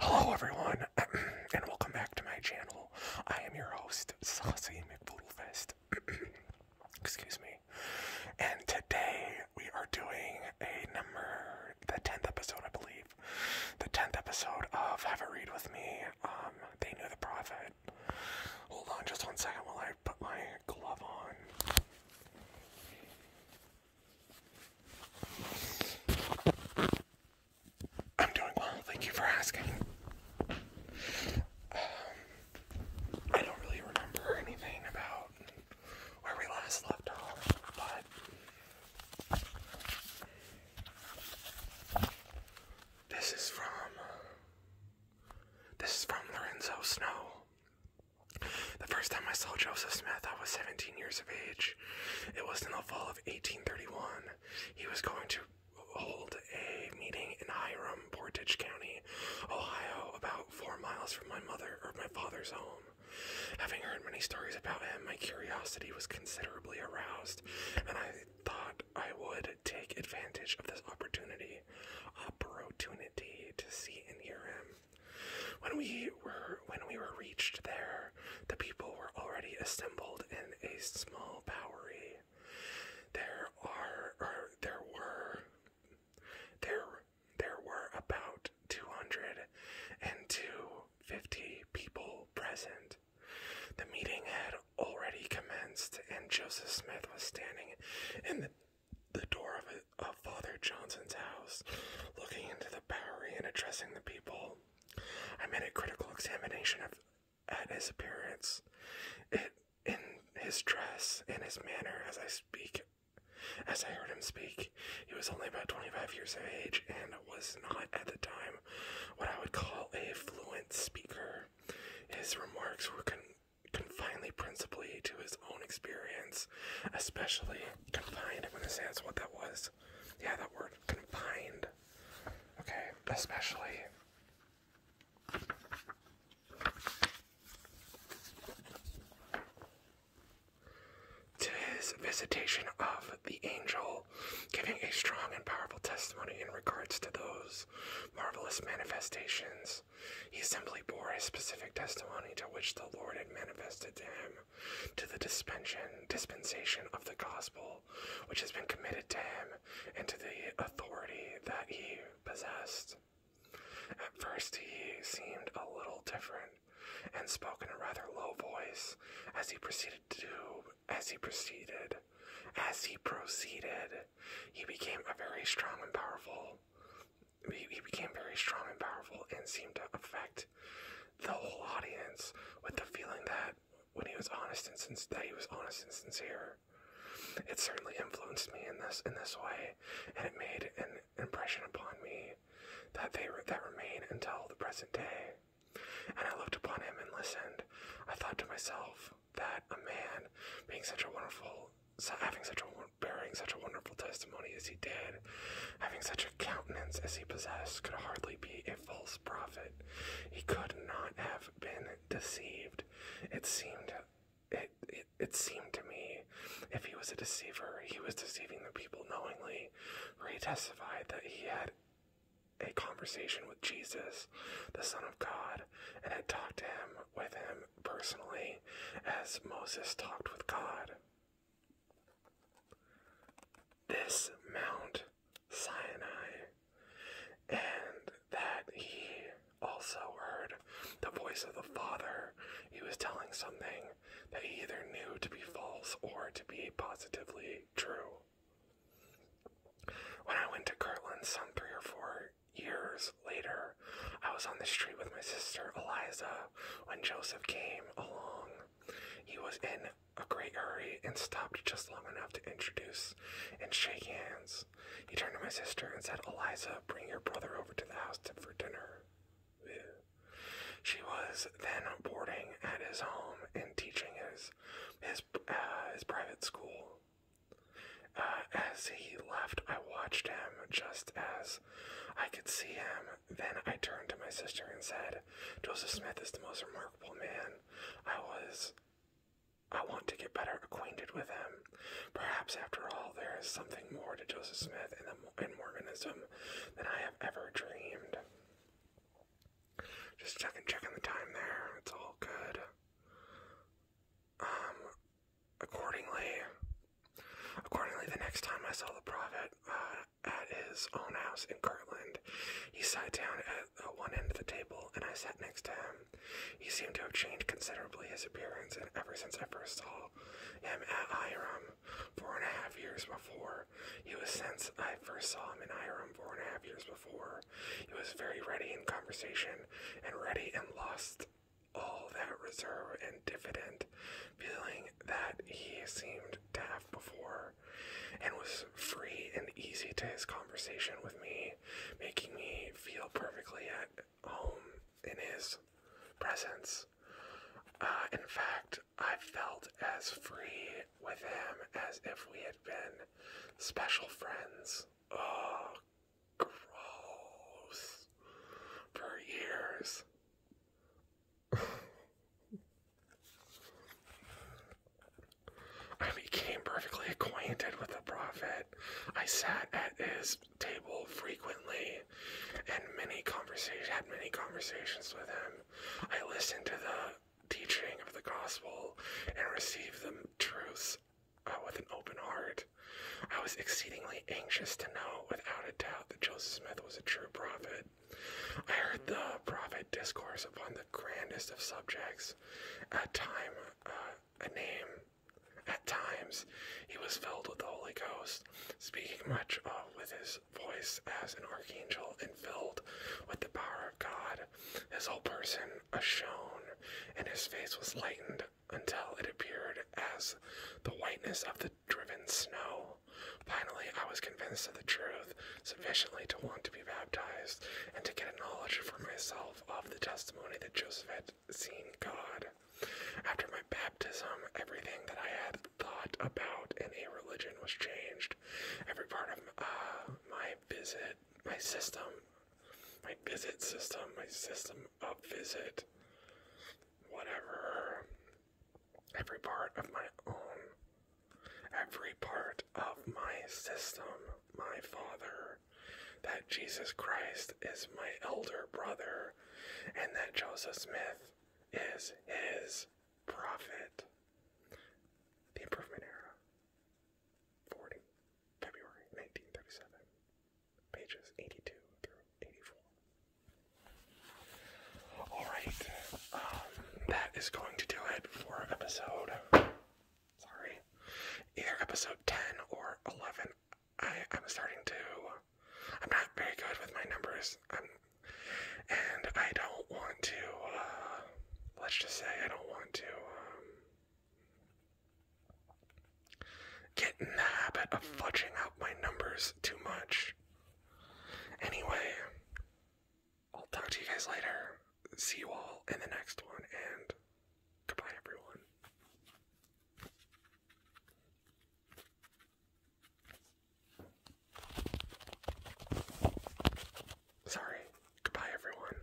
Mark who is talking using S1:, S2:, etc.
S1: Hello everyone, and welcome back to my channel. I am your host, Saucy McBoodlefest. Excuse me. And today we are doing a number, the 10th episode, I believe. The 10th episode of Have a Read With Me, um, They Knew the Prophet. Hold on just one second while I put my glove on. I'm doing well. Thank you for asking. Um, I don't really remember anything about where we last left off, but this is from this is from Lorenzo Snow. The first time I saw Joseph Smith, I was 17 years of age. It was in the fall of 1831. He was going to hold a meeting in Hiram, Portage County, Ohio, about four miles from my mother or my father's home. Having heard many stories about him, my curiosity was considerably aroused, and I thought I would take advantage of this opportunity, opportunity to see and hear him. When we were when we were reached there, the people were already assembled in a small bowery. There are or there were there there were about two hundred and two fifty people present. The meeting had already commenced, and Joseph Smith was standing in the the door of, a, Father Johnson's house, looking into the Bowery and addressing the people. I made a critical examination of at his appearance, it, in his dress, in his manner, as I speak. As I heard him speak, he was only about 25 years of age and was not at the time what I would call a fluent speaker. His remarks were con principally to his own experience especially confined. I'm gonna say that's what that was. Yeah, that word confined. Okay, especially. To his visitation of the angel, giving a strong and powerful testimony in regards to those marvelous manifestations he simply bore a specific testimony to which the Lord had manifested to him, to the dispensation of the gospel which has been committed to him, and to the authority that he possessed. At first, he seemed a little different, and spoke in a rather low voice as he proceeded to as he proceeded. As he proceeded, he became a very strong and powerful he, became very strong and powerful and seemed to affect the whole audience with the feeling that when he was honest and since he was honest and sincere. It certainly influenced me in this in this way, and it made an impression upon me that they that remain until the present day. And I looked upon him and listened. I thought to myself that a man being such a wonderful having such a bearing such a wonderful testimony as he did, having such a countenance as he possessed, could hardly be a false prophet. He could not have been deceived. It seemed it, it, it seemed to me if he was a deceiver, he was deceiving the people knowingly, for he testified that he had a conversation with Jesus, the Son of God, and had talked to him with him personally as Moses talked with God. This Mount Sinai, and that he also heard the voice of the Father. He was telling something that he either knew to be false or to be positively true. When I went to Kirtland some three or four years later, I was on the street with my sister Eliza when Joseph came along. He was in a great hurry and stopped just long enough to introduce and shake hands. He turned to my sister and said, Eliza, bring your brother over to the house for dinner. She was then boarding at his home and teaching his, his, uh, his private school. Uh, as he left, I watched him just as I could see him. Then I turned to my sister and said, Joseph Smith is the most remarkable man. I was. I want to get better acquainted with him. Perhaps, after all, there is something more to Joseph Smith and, the, Mormonism than I have ever dreamed. Just checking, checking the time there. It's all good. Um, accordingly, accordingly, the next time I saw the private uh, at his own house in Kirtland, he sat down at uh, one end of the table, and I sat next to him. He seemed to have changed considerably his appearance, and ever since I first saw him at Iram four and a half years before, he was since I first saw him in Hiram four and a half years before, he was very ready in conversation and ready and lost all that reserve and diffident feeling that he seemed to have before, and was free and easy to his conversation with me, making me feel perfectly at home in his presence. Uh, in fact, I felt as free with him as if we had been special friends. Oh, Gross. For years. I became perfectly acquainted with the prophet. I sat at his table frequently and many conversations had many conversations with him. I listened to the teaching of the gospel and received the truths with an open heart. I was exceedingly anxious to know, without a doubt, that Joseph Smith was a true prophet. I heard the prophet discourse upon the grandest of subjects. At time, uh, a name. At times, he was filled with the Holy Ghost, speaking much uh, with his voice as an archangel, and filled with the power of God. His whole person shone, and his face was lightened until it appeared as the whiteness of the driven snow. Finally, I was convinced of the truth sufficiently to want to be baptized and to get a knowledge for myself of the testimony that Joseph had seen God. After my baptism, everything that I had thought about in a religion was changed. Every part of uh, my visit, my system, my visit system, my system of visit, whatever. Every part of my own, every part of my system, my Father, that Jesus Christ is my elder brother, and that Joseph Smith is his prophet. The Improvement Era, 40, February 1937 pages 82 through 84. Alright, um, that is going to do it for episode. Sorry. Either episode 10 or 11. I, am starting to. I'm not very good with my numbers. i um, and I don't want to. Uh, let's just say I don't want to. Um, Get in the habit of fudging out my numbers too much. Anyway, I'll talk to you guys later. See you all in the next one, and goodbye, everyone. Sorry, goodbye, everyone.